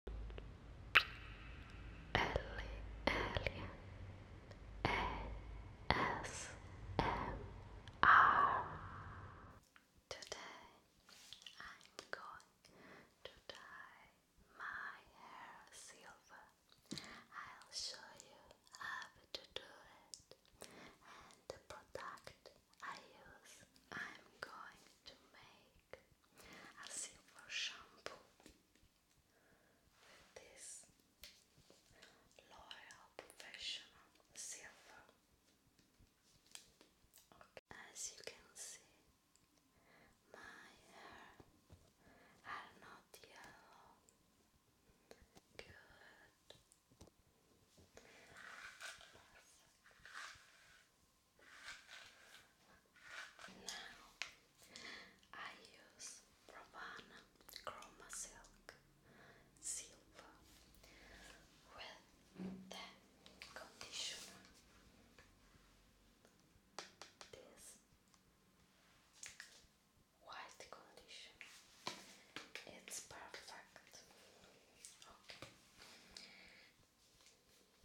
Today I'm going to dye my hair silver. I'll show you how to do it and the product I use. I'm going to make a simple shampoo this L'Oreal Professional Silver. As you can see, my hair are not yellow. Good. Now I use Provana Chroma Silver with the conditioner. This white conditioner. It's perfect.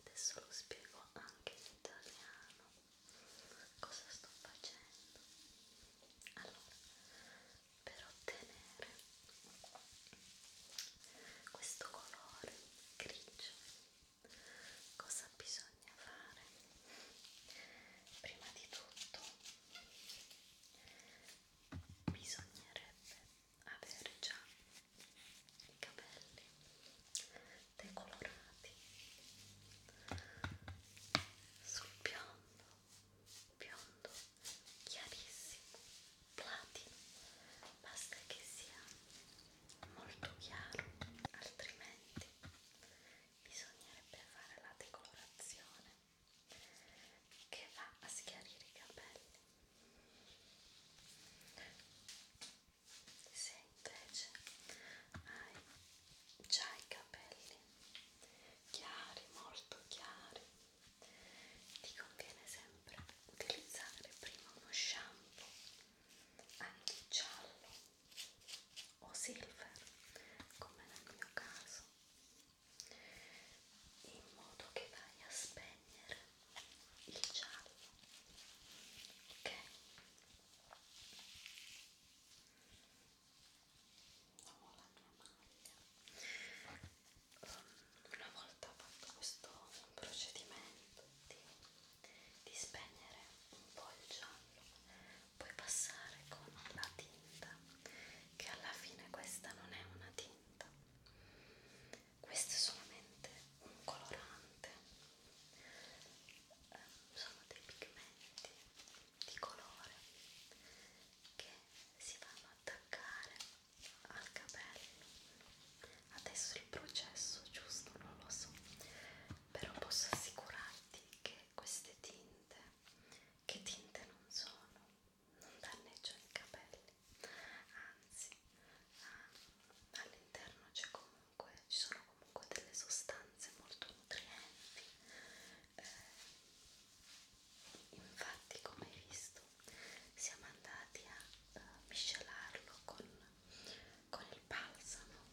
Adesso lo spiego anche in italiano. Cosa sto facendo? Allora, per ottenere questo colore grigio, cosa bisogna fare? Prima di tutto bisognerebbe avere ah, già i capelli decolorati sul biondo, biondo chiarissimo, platino, basta che sia molto chiaro, altrimenti bisognerebbe fare la decolorazione che va a schiarire i capelli se invece hai già i capelli chiari molto chiari ti conviene sempre utilizzare prima uno shampoo anche giallo o silver come nel mio caso in modo che vai a spegnere il giallo ok ho la mia maglia una volta fatto questo procedimento di, di spegnere un po' il giallo puoi passare con la tinta che alla fine questa non è una tinta questo è solamente un colorante eh, sono dei pigmenti di colore che si vanno ad attaccare al capello adesso il processo giusto non lo so però posso assicurarti che queste tinte che tinte non sono non danneggiano i capelli anzi ah, all'interno c'è comunque ci sono comunque delle sostanze molto nutrienti eh, infatti come hai visto siamo andati a eh, miscelarlo con, con il balsamo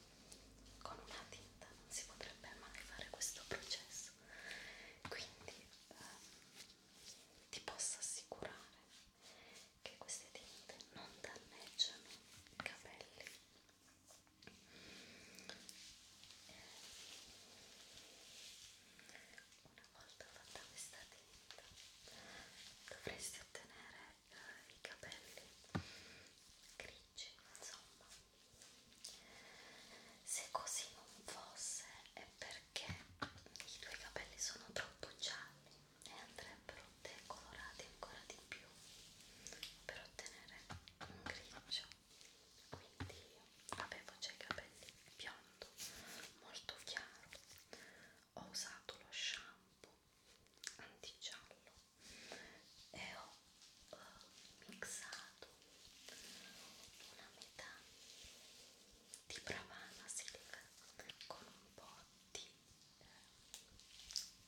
con una tinta non si potrebbe mai fare questo processo adesso quindi ehm, ti posso assicurare che queste tinte non danneggiano i capelli una volta fatta questa tinta dovresti ottenere eh, i capelli grigi insomma se così non fosse è perché i tuoi capelli sono troppo gialli e andrebbero decolorati ancora di più per ottenere un grigio. Quindi io avevo già i capelli biondo, molto chiaro, ho usato lo shampoo antigiallo e ho ho mixato una metà di Pravana Silk con un po' di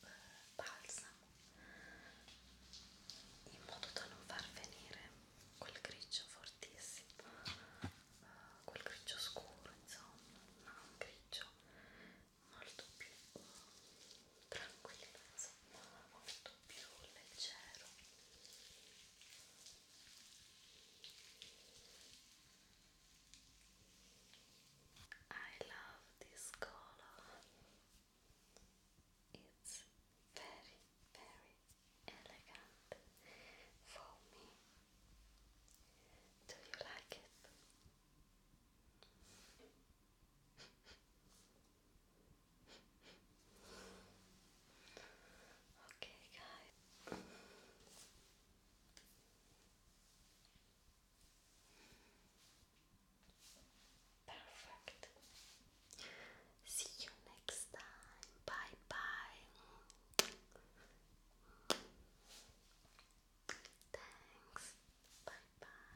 eh, balsamo in modo da non far venire quel grigio fortissimo eh, quel grigio scuro insomma ma un grigio molto più tranquillizza I love this color it's very very elegant for me do you like it? Okay, guys. Perfect. See you next time. Bye bye. Thanks. Bye bye.